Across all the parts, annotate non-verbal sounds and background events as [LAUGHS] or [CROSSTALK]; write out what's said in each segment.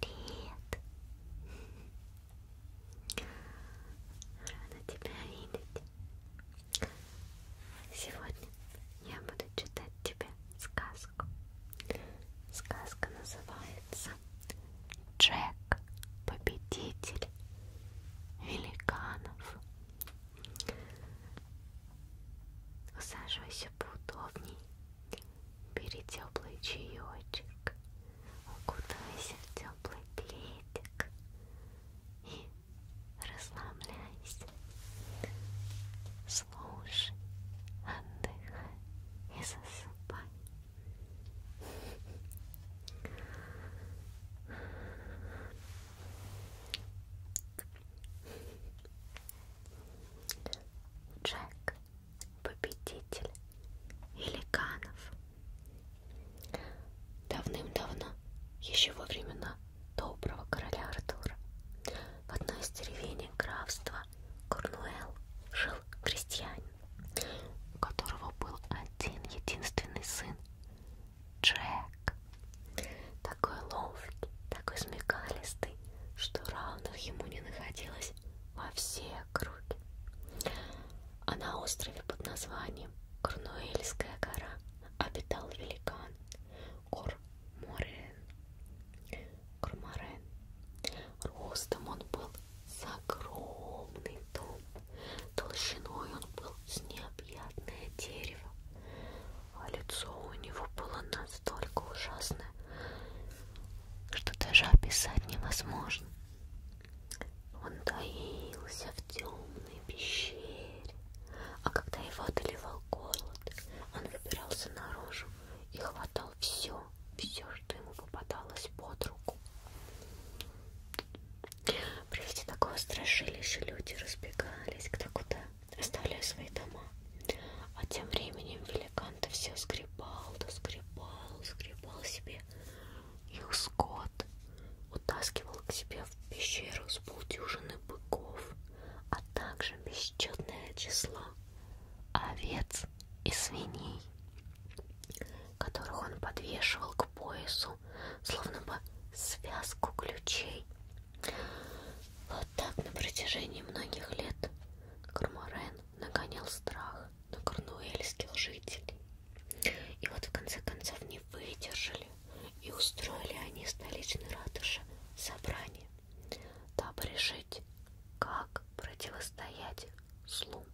Привет! Рада тебя видеть. Сегодня я буду читать тебе сказку. Сказка называется Джек, победитель великанов. Усаживайся устраивайся поудобней, бери теплый чаечек, укутайся в теплый пледик и расслабляйся. Слушай, отдыхай и засыпай. Джек, победитель великанов. Давным-давно, еще во времена доброго короля Артура, в одной из деревень графства Корнуэлл жил крестьянин, у которого был один единственный сын Джек. Да, такой ловкий, такой смекалистый, что равных ему не находилось во всей округе. А на острове под названием Корнуэльская гора обитал великан Корморен. Корморен. Ростом он был с огромный дом, толщиной он был с необъятное дерево, а лицо у него было настолько ужасное, что даже описать невозможно. Он таился в темной пещере, а когда его одолевал голод, он выбирался наружу и хватал все, все, что ему попадалось под руку. При виде такого страшилища люди разбегались кто куда, оставляя свои дома. А тем временем великан-то все скребал, да скребал, скребал себе их скот, утаскивал к себе в пещеру с полдюжины быков, а также бесчетное число овец и свиней, которых он подвешивал к поясу, словно бы связку ключей вот так на протяжении многих лет Корморен нагонял страх на корнуэльских жителей. И вот в конце концов не выдержали и устроили они столичной ратуши собрание, дабы решить, как противостоять злу.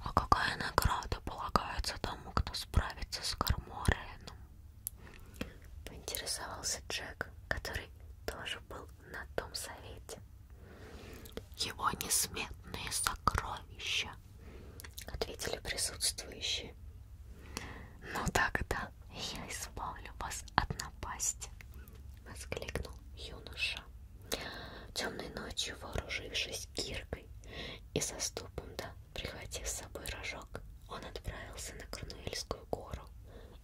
А какая награда полагается тому, кто справится с Кормореном? Поинтересовался Джек, который тоже был на том совете. Его несметные сокровища, ответили присутствующие. Ну тогда я избавлю вас от напасти, воскликнул юноша. Темной ночью, вооружившись киркой и со ступом, да, прихватив с собой рожок, он отправился на Корнуэльскую высокую гору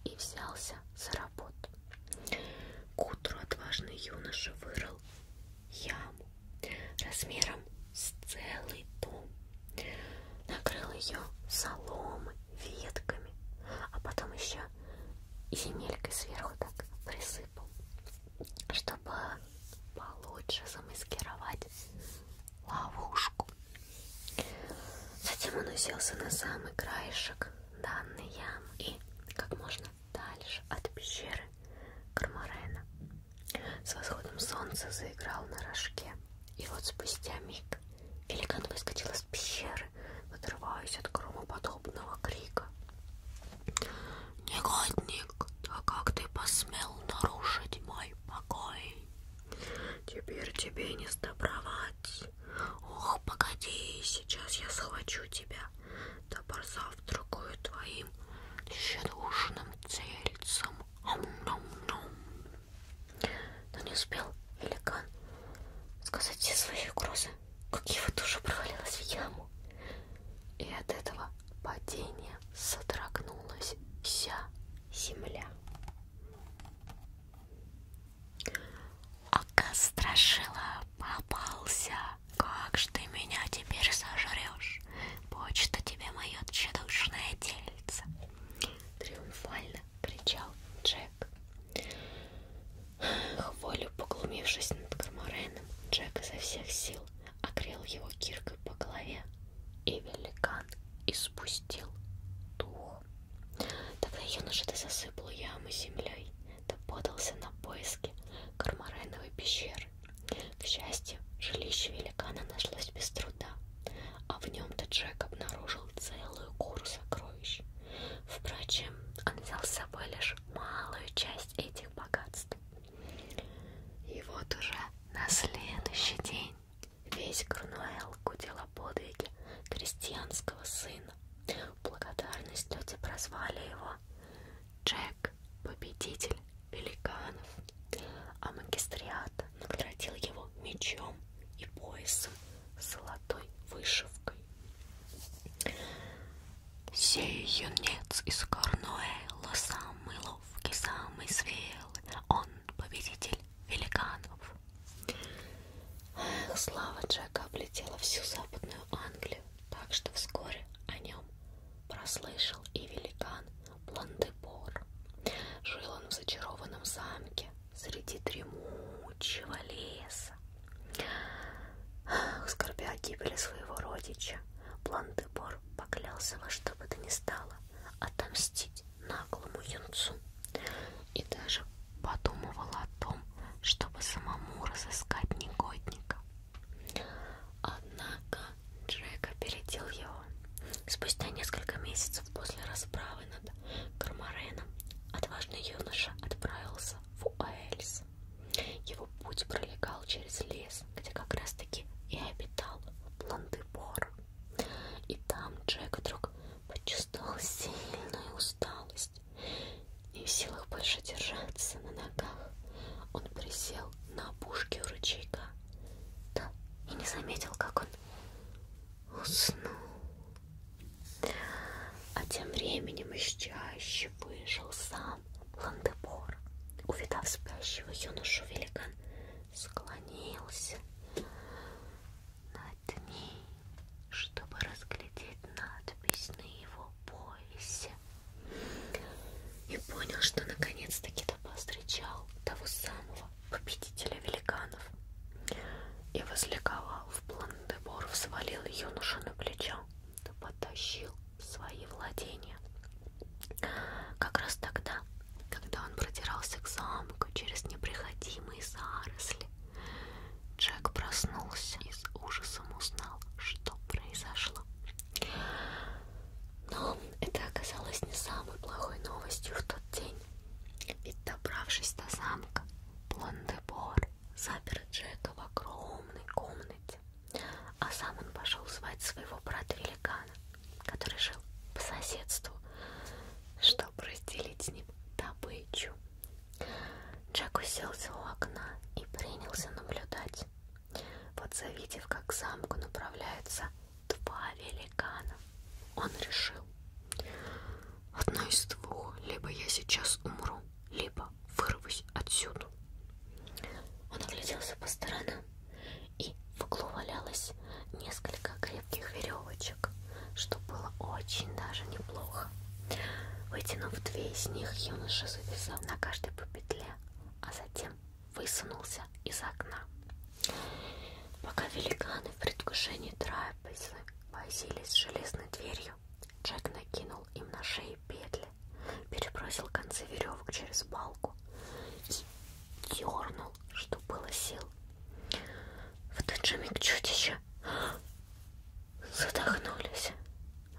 и взялся за работу. К утру отважный юноша вырыл яму размером с целый дом, накрыл ее соломой, ветками, а потом еще земелькой сверху так присыпал, чтобы получше замаскировать ловушку. Затем он уселся на самый краешек данной ямы и как можно дальше от пещеры Кармарена. С восходом солнца заиграл на рожке. И вот спустя миг великан выскочил из пещеры, отрываясь от громоподобного крика. «Негодник, да как ты посмел нарушить мой покой?» Теперь тебе не сдобровать. Ох, погоди, сейчас я схвачу тебя, да позавтракаю твоим щедушным тельцем. Ам-нам-нам. Но не успел великан сказать все свои угрозы, как его душа провалилась в яму. И от этого падения содрогнулась вся земля. Ага, страшила, попался. Как ж ты меня теперь сожрешь? Почта тебе мое тщедушное тельце. Триумфально кричал Джек. Хволю поглумившись над Кармареном, Джек изо всех сил окрел его киркой по голове, и великан испустил дух. Тогда юноша ты засыпал яму землей, ты подался на поиски кармарайновой пещеры. К счастью, жилище великана нашлось без труда, а в нем-то Джек обнаружил целую гору сокровищ. Впрочем, он взял с собой лишь малую часть этих богатств. И вот уже на следующий день Весь Корнуэлл гудел о подвиге крестьянского сына. В благодарность люди прозвали его Джек, победитель великанов, а магистриат наградил его мечом и поясом с золотой вышивкой. Сей юнец из Корнуэлла самый ловкий, самый смелый, он победитель великанов. Слава Джека облетела всю Западную Англию, так что вскоре о нем прослышал и великан Пландебор. Жил он в зачарованном замке среди дремучего леса. Скорбя о гибели своего родича, Пландебор поклялся во что бы то ни стало отомстить честь наглому юнцу и даже подумывала о том, чтобы самому разыскать негодника. Однако Джек опередил его. Спустя несколько месяцев после расправы над Кармареном отважный юноша отправился в Уэльс. Его путь пролегал через лес, где как раз-таки и обитал Пландебор. И там Джек вдруг почувствовал сильную усталость. Не в силах больше держаться на ногах, он присел на опушке у ручейка. Да, и не заметил, как он уснул. А тем временем из чаще вышел сам Ландебор. Увидав спящего юношу, великан склонился, поплотней, чтобы разглядеть надпись на его поясе. И понял, что наконец-таки то повстречал того самого победителя великанов. И возликовал в Пландебор, свалил юношу на плечо, да потащил в свои владения. Как раз тогда, когда он продирался к замку, тропку через непроходимые заросли. Джек проснулся и с ужасом узнал, что произошло. Но это оказалось не самой плохой новостью в тот день. Ведь добравшись до замка, Блондебор запер Джека в огромной комнате, а сам он пошел звать своего брата-великана, который жил по соседству чтобы разделить с ним добычу. Джек уселся у окна и принялся наблюдать. Вот завидев, как к замку направляются два великана, он решил. Одно из двух, либо я сейчас умру, либо вырвусь отсюда. Он огляделся по сторонам, и в углу валялась нас несколько крепких веревочек, что было очень даже неплохо. Вытянув две из них, юноша завязал на каждой по петле, а затем высунулся из окна. Пока великаны в предвкушении трапезы возились с железной дверью, Джек накинул им на шеи петли, перебросил концы веревок через балку и дернул крикнул, что было сил. В тот же миг чудища задохнулись.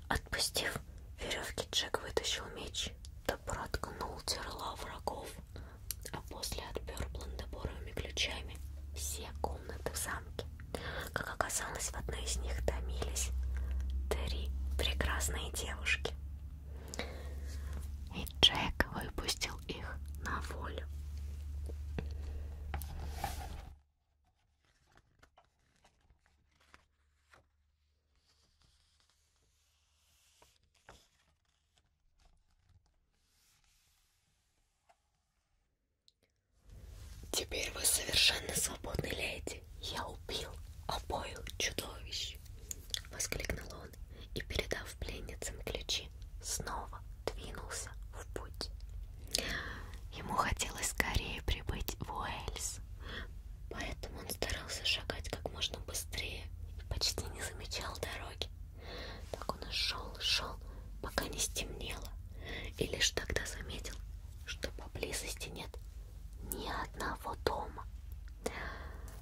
Отпустив веревки, Джек вытащил меч, да проткнул терла врагов, а после отпер блондоборовыми ключами все комнаты в замке. Как оказалось, в одной из них томились три прекрасные девушки. И Джек выпустил их на волю. Теперь вы совершенно свободны, леди. Я убил обоих чудовищ, воскликнул он и, передав пленницам ключи, ночи снова двинулся в путь. Ему хотелось скорее прибыть в Уэльс, поэтому он старался шагать как можно быстрее и почти не замечал дороги. Так он и шел, шел, пока не стемнело, и лишь тогда заметил, что поблизости нет ни одного дома.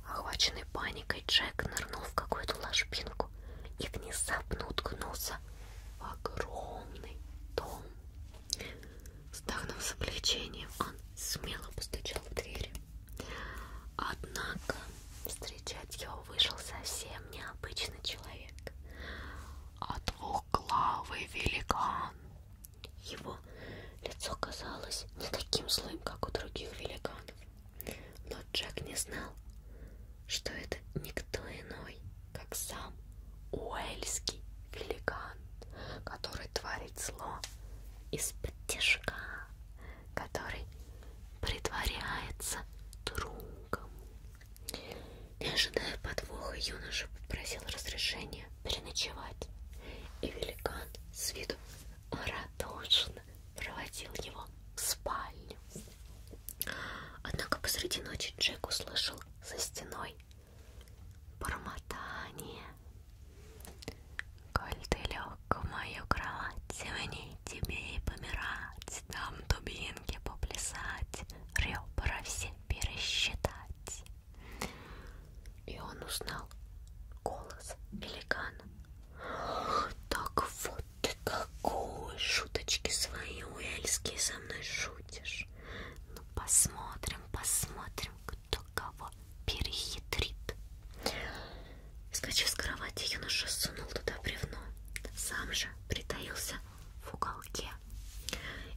Охваченный паникой, Джек нырнул в какую-то ложбинку руку и внезапно уткнулся в огромный дом. Вздохнув с облегчением, он смело постучал в дверь. Однако встречать его вышел совсем необычный человек, а двухглавый великан. Его лицо казалось не таким злым, как у других великанов. Но Джек не знал, что это никто иной, как сам уэльский великан, который творит зло из-под тяжка, который притворяется другом. Не ожидая подвоха, юноша попросил разрешения переночевать, и великан с виду радушно проводил его в спальню. Однако посреди ночи Джек услышал за стеной бормотание. Коль ты лег в мою кровать, темней тебе и помирать, там дубинки поплясать, ребра все пересчитать. И он узнал голос великана. Так вот вот ты какой шуточки свои уэльские со мной шутишь. Ну посмотрим, посмотрим, кто кого перехитрит. Скачив с кровати, юноша сунул туда бревно. Сам же притаился в уголке.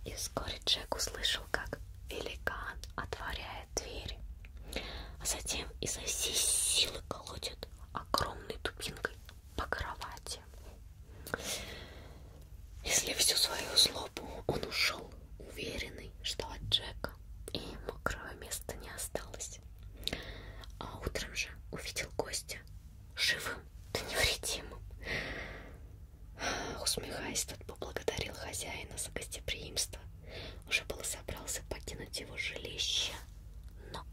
И вскоре Джек услышал, как великан отворяет дверь. А затем изо всей силы колотит огромной дубинкой по кровати. Если всю свою злобу он ушел, уверенный, что от Джека и мокрого места не осталось. А утром же увидел гостя живым, да невредимым. Усмехаясь, тот поблагодарил хозяина за гостеприимство. Уже было собрался покинуть его жилище, но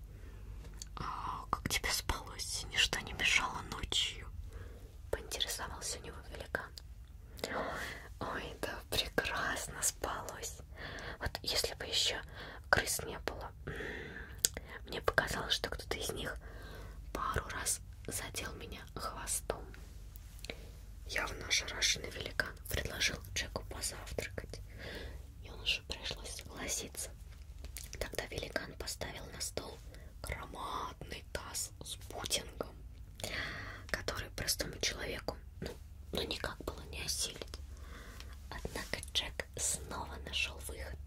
а, как тебе спалось? Ничто не мешало ночью? Поинтересовался у него великан. Ой, да прекрасно спалось. Вот если бы еще крыс не было, мне показалось, что кто-то из них пару раз задел меня хвостом. Явно ошарашенный великан предложил Джеку позавтракать, и он юноше пришлось согласиться. Тогда великан поставил на стол громадный таз с путингом, который простому человеку ну, ну никак было не осилить. Однако Джек снова нашел выход.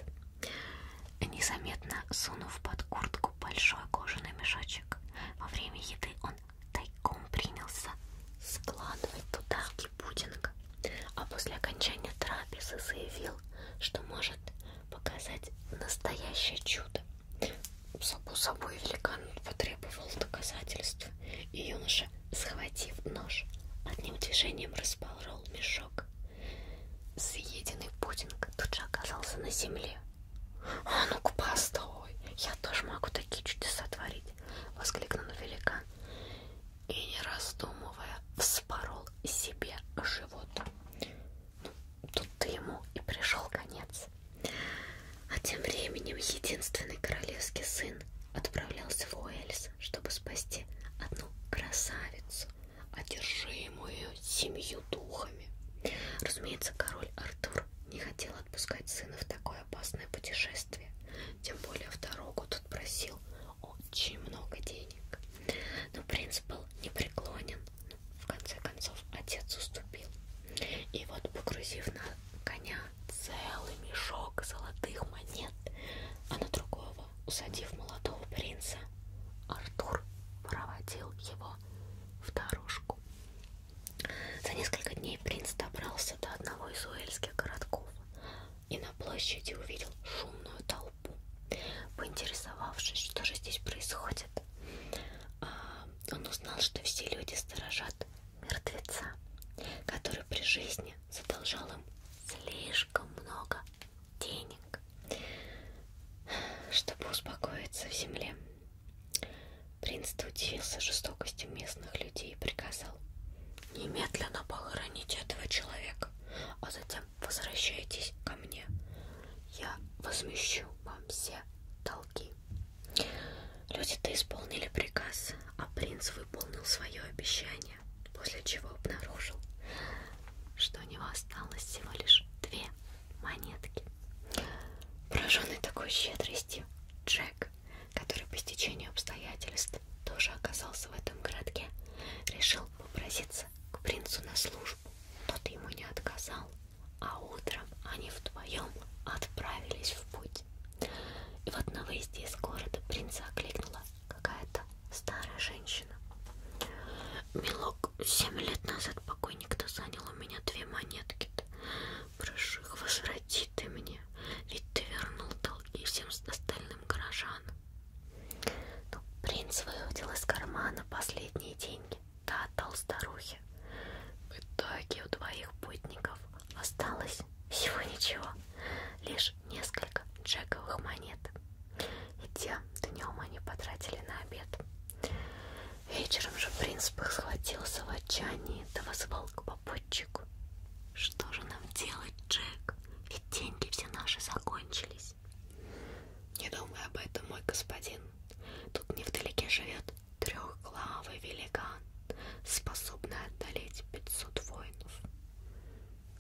Незаметно сунув под куртку большой кожаный мешочек, во время еды он тайком принялся складывать туда маленький пудинг, а после окончания трапезы заявил, что может показать настоящее чудо. Само собой великан потребовал доказательств, и юноша, схватив нож, одним движением распорол мешок. Съеденный пудинг тут же оказался на земле. «А ну-ка, постой! Я тоже могу такие чудеса творить!» — воскликнул великан и, не раздумывая, вспорол себе живот. Ну, тут ему и пришел конец. А тем временем единственный королевский сын отправлялся в Уэльс, чтобы спасти одну красавицу, одержимую семью духами. Разумеется, король Артур не хотел отпускать сына в такое опасное путешествие, тем более в дорогу тут просил очень много денег. Но принц был непреклонен. Ну, в конце концов, отец уступил. И вот, погрузив на коня целый мешок золотых монет, а на другого, усадив молодого принца, Артур проводил его в дорожку. За несколько дней принц добрался до одного из уэльских городков, и на площади увидел шумную толпу. Поинтересовавшись, что же здесь происходит, а, он узнал, что все люди сторожат мертвеца, который при жизни задолжал им слишком много денег, чтобы успокоиться в земле. Принц удивился жестокостью местных людей и приказал немедленно похоронить этого человека а затем возвращайтесь ко мне. Я возмещу вам все долги. Люди-то исполнили приказ, а принц выполнил свое обещание, после чего обнаружил, что у него осталось всего лишь две монетки. Пораженный такой щедростью, Джек, который по стечению обстоятельств тоже оказался в этом городке, решил попроситься к принцу на службу, но ты ему не отказал, а утром они вдвоем отправились в путь. И вот на выезде из города принца окликнула какая-то старая женщина. «Милок, семь лет назад покойник-то занял у меня две монетки -то. Прошу их, возврати ты мне, ведь ты вернул долги всем остальным горожанам. Но ну, принц выудил из кармана последние деньги, да отдал старухе. В итоге у двоих путников осталось всего ничего, лишь несколько джековых монет. И тем днем они потратили на обед. Вечером же принц схватился в отчаянии да вызвал к попутчику. Что же нам делать, Джек? Ведь деньги все наши закончились. Не думай об этом, мой господин. Тут невдалеке живет трехглавый великан, способный отдалить 500 воинов.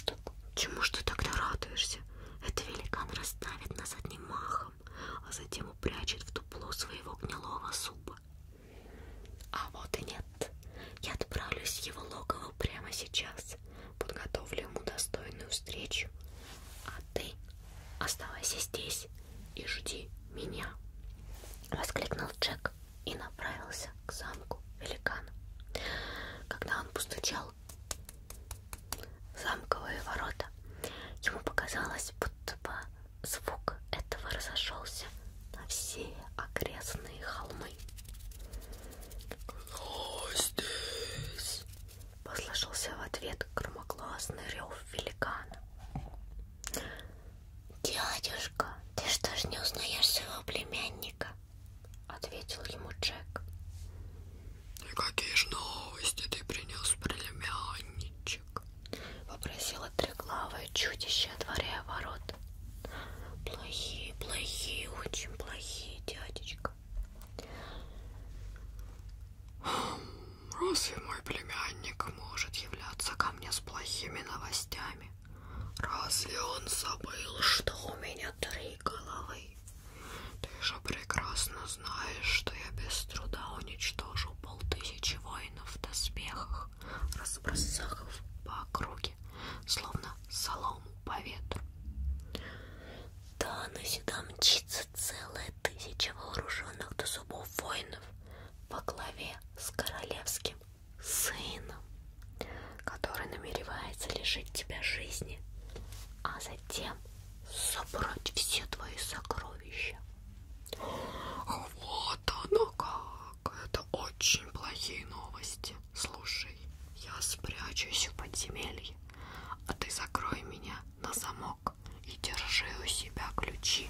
Так чему ж ты тогда радуешься? Этот великан расставит нас одним махом, а затем упрячет в дупло своего гнилого зуба. А вот и нет. Я отправлюсь в его логово прямо сейчас, подготовлю ему достойную встречу. А ты оставайся здесь и жди меня, воскликнул Джек и направился к замку великана. Когда он постучал в замковые ворота, ему показалось, будто бы звук этого разошелся на все окрестные холмы. Кто здесь? Послышался в ответ громогласный рев великана. Дядюшка, ты что ж не узнаешь своего племянника? Ответил ему Джек. И какие же новости ты принес, племянничек? Попросила треклавое чудище, отворяя ворот. Плохие, плохие, очень плохие, дядечка. Разве мой племянник может являться ко мне с плохими новостями? Разве он забыл, что у меня три головы? Ты же прекрасно знаешь, что я без труда уничтожу полтысячи воинов в доспехах, разбросахов по округе руки, словно солому по ветру. Да, но сюда мчится целая тысяча вооруженных до зубов воинов во главе с королевским сыном, который намеревается лишить тебя жизни, а затем собрать все твои сокровища. Вот оно как! Это очень плохие новости. Слушай, я спрячусь в подземелье, а ты закрой меня на замок и держи у себя ключи,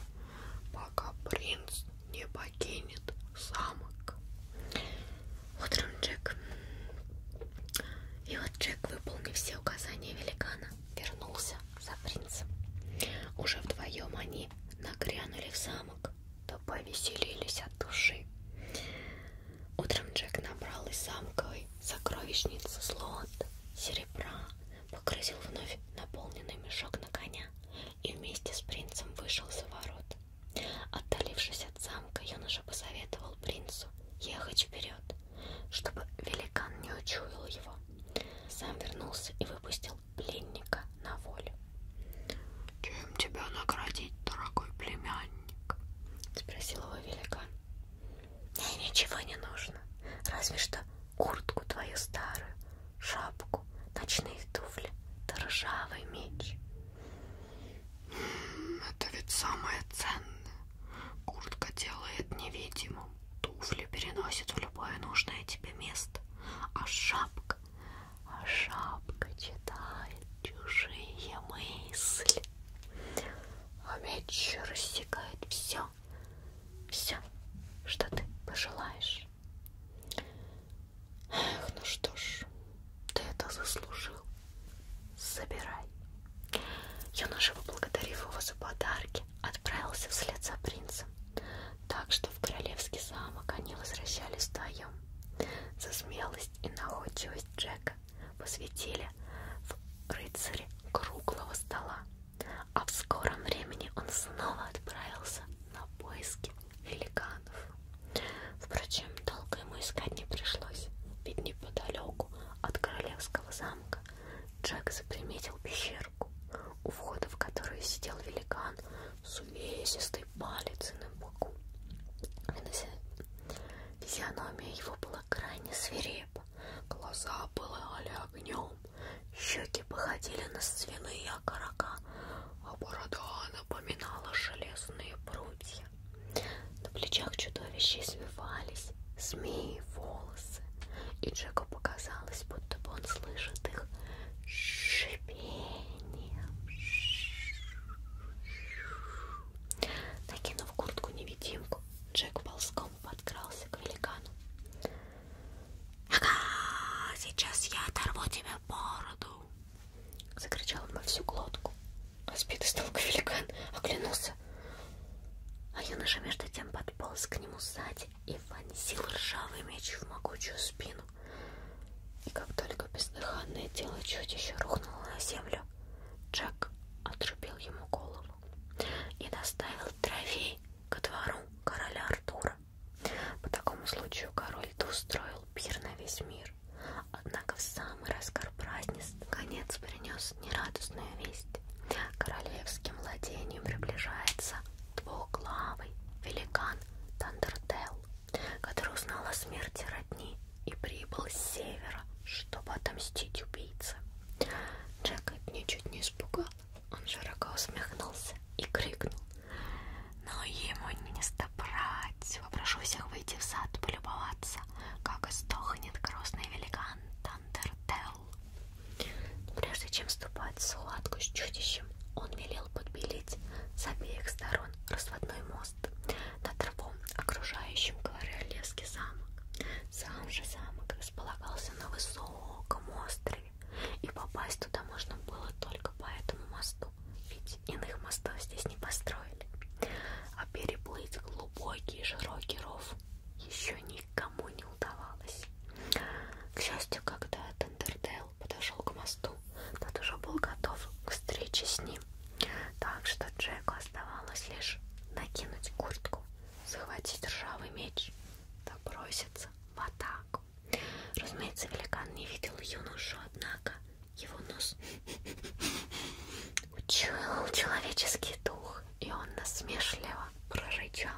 пока принц не покинет замок. Утром Джек. И вот Джек, выполнив все указания великана, вернулся за принцем. Уже вдвоем они нагрянули в замок, да повеселились от души. Утром Джек набрал из замковой сокровищницы слот серебра, погрузил вновь наполненный мешок на коня и вместе с принцем вышел за ворот. Отдалившись от замка, юноша посоветовал принцу ехать вперед, чтобы великан не учуял его. Сам вернулся и выпустил пленника на волю. Чем тебя наградить, дорогой племянник? Спросил его великан. Мне ничего не нужно, разве что куртку твою старую, шапку, ночные туфли, да ржавый меч. Это ведь самое ценное. Куртка делает невидимым, туфли переносит в любое нужное тебе место, а шапка, а шапка читает чужие мысли. А меч рассекает все, все, что ты пожелаешь. Эх, ну что ж, ты это заслужил. Забирай. Юноша, поблагодарив его за подарки, отправился вслед за принцем, так что в королевский замок они возвращались вдвоем. За смелость и находчивость Джека посвятили в рыцаре круглого стола, а в скором времени он снова отправился на поиски великанов. Впрочем, долго ему искать не пришлось, ведь неподалеку от королевского замка Джек заприметил пещерку, у входа в которую сидел великан с увесистой палицей на боку. И Физиономия его была крайне свирепа, глаза пылали огнем, щеки походили на свиные окорока, а борода напоминала железные прутья. На плечах чудовища извивались змеи, волосы, и Джеку показалось, будто бы он слышит их шипением. Накинув куртку-невидимку, Джек ползком подкрался к великану. «Ага, сейчас я оторву тебе бороду!» Закричал он во всю глотку. Разбитый столк великан оглянулся. А юноша между тем подполз к нему сзади и вонзил ржавый меч в могучую спину. И как только бездыханное тело чудища рухнуло на землю, Джек отрубил ему голову и доставил трофей ко двору короля Артура. По такому случаю король устроил пир на весь мир. Однако в самый раскар празднеств конец принес нерадостную весть. Королевским владением приближается двухглавый великан Тандертел, который узнал о смерти родни и прибыл с севера, чтобы отомстить убийце. Джека ничуть не испугал. Он широко усмехнулся и крикнул. Но ему не стобрать. Попрошу всех выйти в сад полюбоваться, как истохнет красный великан Тандертел. Прежде чем вступать в схватку с чудищем, он велел подбелить с обеих сторон разводной мост мост на траву, окружающим Королевский замок. Сам же замок располагался на высоком острове, и попасть туда можно было только по этому мосту, ведь иных мостов здесь не построили. А переплыть глубокий и широкий ров еще никому не удавалось. К счастью, когда Тендердейл подошел к мосту, тот уже был готов к встрече с ним времени, так что Джеку оставалось лишь накинуть куртку, захватить ржавый меч, да броситься в атаку. Разумеется, великан не видел юношу, однако его нос [LAUGHS] учуял человеческий дух, и он насмешливо прорычал.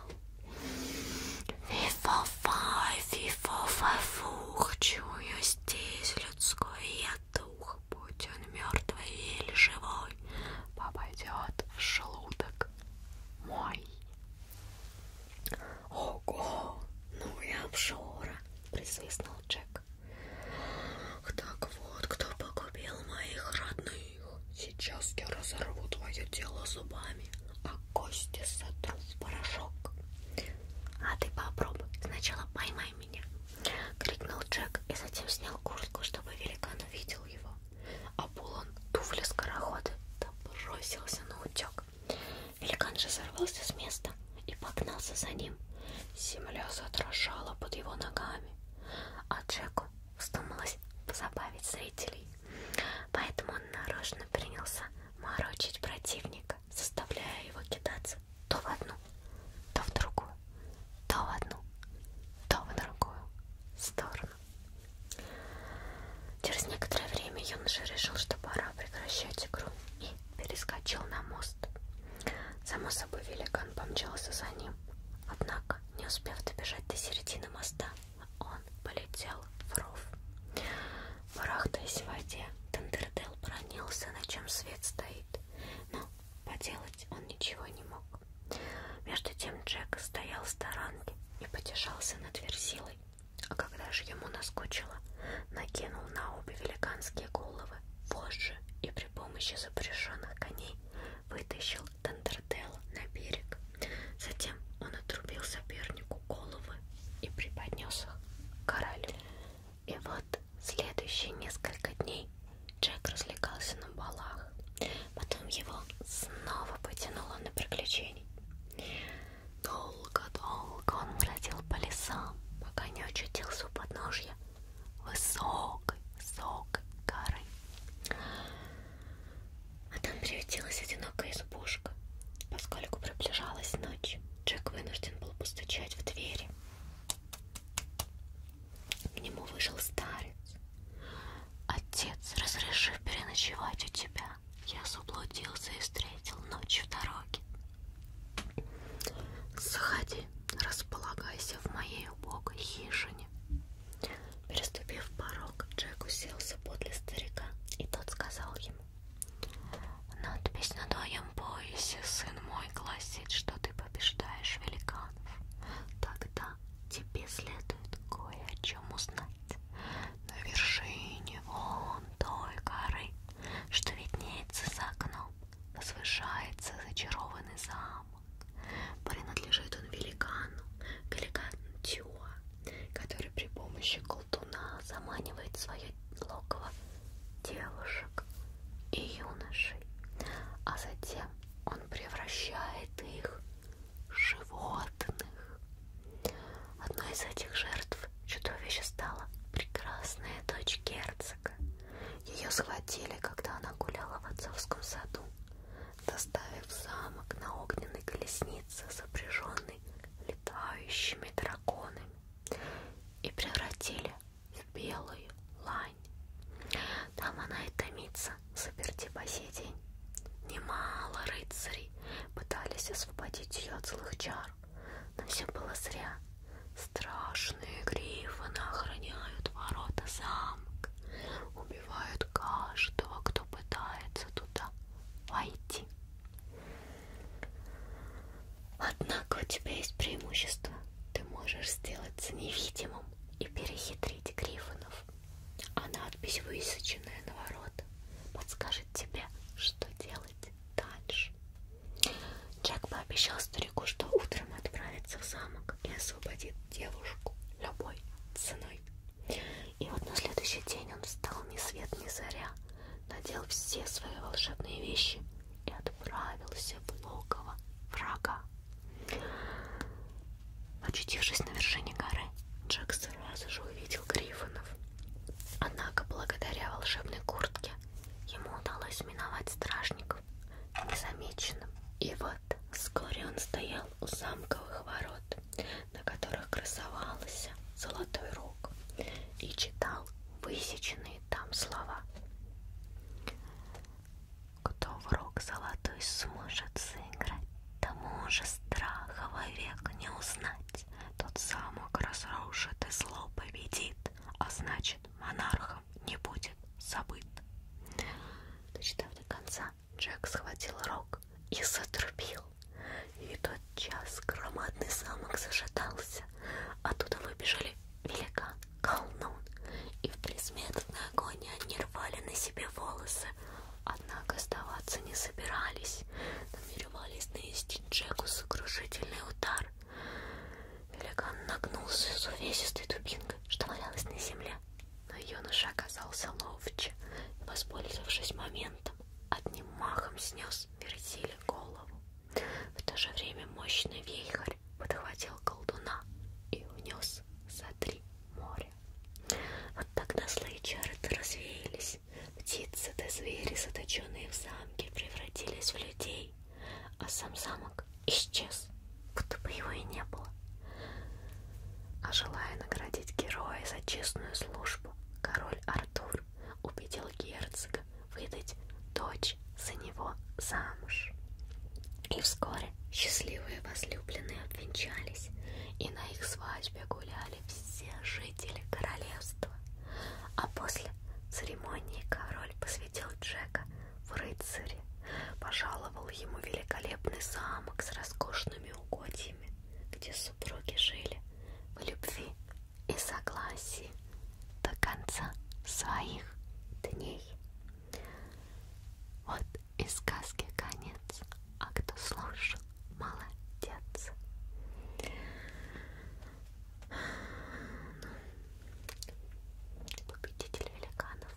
Фифофай, фифофафух, чую здесь людское дух, будь он мертвый или живой, попадет в желудок мой. Ого, ну и обжора, присвистнул Джек. Так вот, кто погубил моих родных. Сейчас я разорву твое тело зубами, а кости сотру в порошок. А ты попробуй, сначала поймай меня, Крикнул Джек и затем снял куртку, чтобы великан увидел его. А Булан, туфли скороходы, да бросился на утек. Великан же сорвался с места и погнался за ним. Земля задрожала под его ногами, а Джеку вздумалось позабавить зрителей. Поэтому он нарочно принялся морочить противника, заставляя его кидаться раз то в одну, то в другую, то в одну, то в другую сторону. Через некоторое время юноша решил, что пора прекращать игру и перескочил на мост. Само собой, великан помчался за ним. Однако, не успев добежать до середины моста, он полетел в ров. Барахтаясь в воде, Тандердел бронился, на чем свет стоит, но Поделать он ничего не мог. Между тем Джек стоял в сторонке и потешался над версилой, а когда же ему наскучило, накинул на обе великанские головы вожжи и при помощи запряженных коней вытащил Тандердела на берег. Затем он отрубил сопернику головы и преподнес их королю. И вот следующие несколько дней Джек развлекался на балах. Потом его снова потянуло на приключения. Долго-долго он бродил по лесам, пока не очутился у подножья высокой, высокой горы. А там приютилась одинокая избушка. Поскольку приближалась ночь, Джек вынужден был постучать в двери. К нему вышел старец. Отец, разрешив переночевать у тебя, я заблудился и встретил ночь в дороге. Заходи, располагайся в моей убогой хижине. Переступив порог, Джек уселся подле старика, и тот сказал ему. Надпись на твоем поясе, сын мой, гласит, что ты побеждаешь великанов, тогда тебе следует кое о чем узнать. На вершине вон той горы, что виднеется за окном, возвышается зачарованный замок. Принадлежит он великану, великану Тюа, который при помощи колтуна заманивает свое логово девушек и юношей, а затем он превращает их в животных. Одной из этих жертв чудовище стала прекрасная дочь герцога. Ее схватили, когда она гуляла в отцовском саду, доставив в замок на огненной колеснице, запряженной летающими драконами, и превратили в белую лань. Там она и томится в заперти по сей день. Немало рыцарей пытались освободить ее от злых чар, но все было зря. Страшные грифоны охраняют ворота замка, убивают каждого, кто пытается туда войти. Однако у тебя есть преимущество. Ты можешь сделаться невидимым и перехитрить Гриффинов. А надпись, высеченная на ворот, подскажет тебе, что делать дальше. Джек пообещал старику, что утром отправится в замок и освободит девушку любой ценой. И вот на следующий день он встал ни свет ни заря, надел все свои волшебные вещи и отправился в логово врага. Очутившись на вершине горы, Джек сразу же увидел грифонов. Однако, благодаря волшебной куртке, ему удалось миновать стражников незамеченным. И вот вскоре он стоял у замковых ворот, на которых красовался золотой рог, и читал высеченные там слова. Кто в рог золотой сможет сыграть, Тому же страха вовек не узнать. Тот замок разрушит и зло победит, А значит, монархом не будет забыт. Дочитав до конца, Джек схватил рог и затрубил. И тот час громадный замок зашатался. Оттуда выбежали великан колдун, и в предсмертной агонии они рвали на себе волосы, однако оставаться не собирались, намеревались нанести Джеку сокрушительный удар. Великан нагнулся с увесистой дубинкой, что валялась на земле, но юноша оказался ловче, и, воспользовавшись моментом, одним махом снес Вертиле голову. В то же время мощный вейхарь вихрь подхватил колдуна и унес за три моря. Вот тогда злые чары -то развеялись, птицы да звери, заточенные в замке, превратились в людей, а сам замок исчез, будто бы его и не было. А желая наградить героя за честную службу, король Артур убедил герцога выдать дочь дочь за него замуж. И вскоре счастливые возлюбленные обвенчались, и на их свадьбе гуляли все жители королевства. А после церемонии король посвятил Джека в рыцаре, пожаловал ему великолепный замок с роскошными угодьями, где супруги жили в любви и согласии до конца своих дней. Вот и сказки конец, а кто слушал, молодец. Победитель великанов.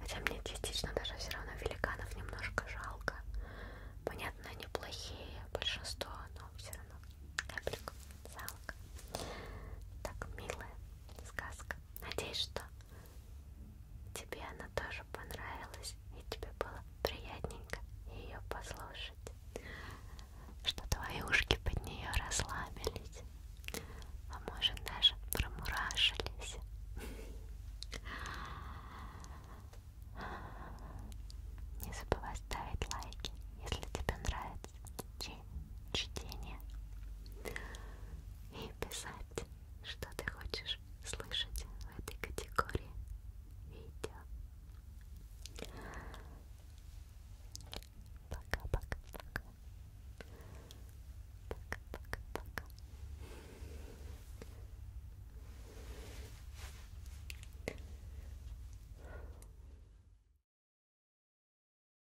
Хотя мне частично даже все равно великанов немножко жалко. Понятно, они плохие, большинство, но все равно капельку жалко. Так, милая сказка. Надеюсь, что тебе она тоже понравилась и тебе было приятненько ее послушать. Что твои ушки под нее расслабились, а может даже промурашились. Не забывай ставить лайки, если тебе нравится чтение и писать, что ты хочешь слышать в этой категории видео. Пока-пока-пока. Пока-пока-пока.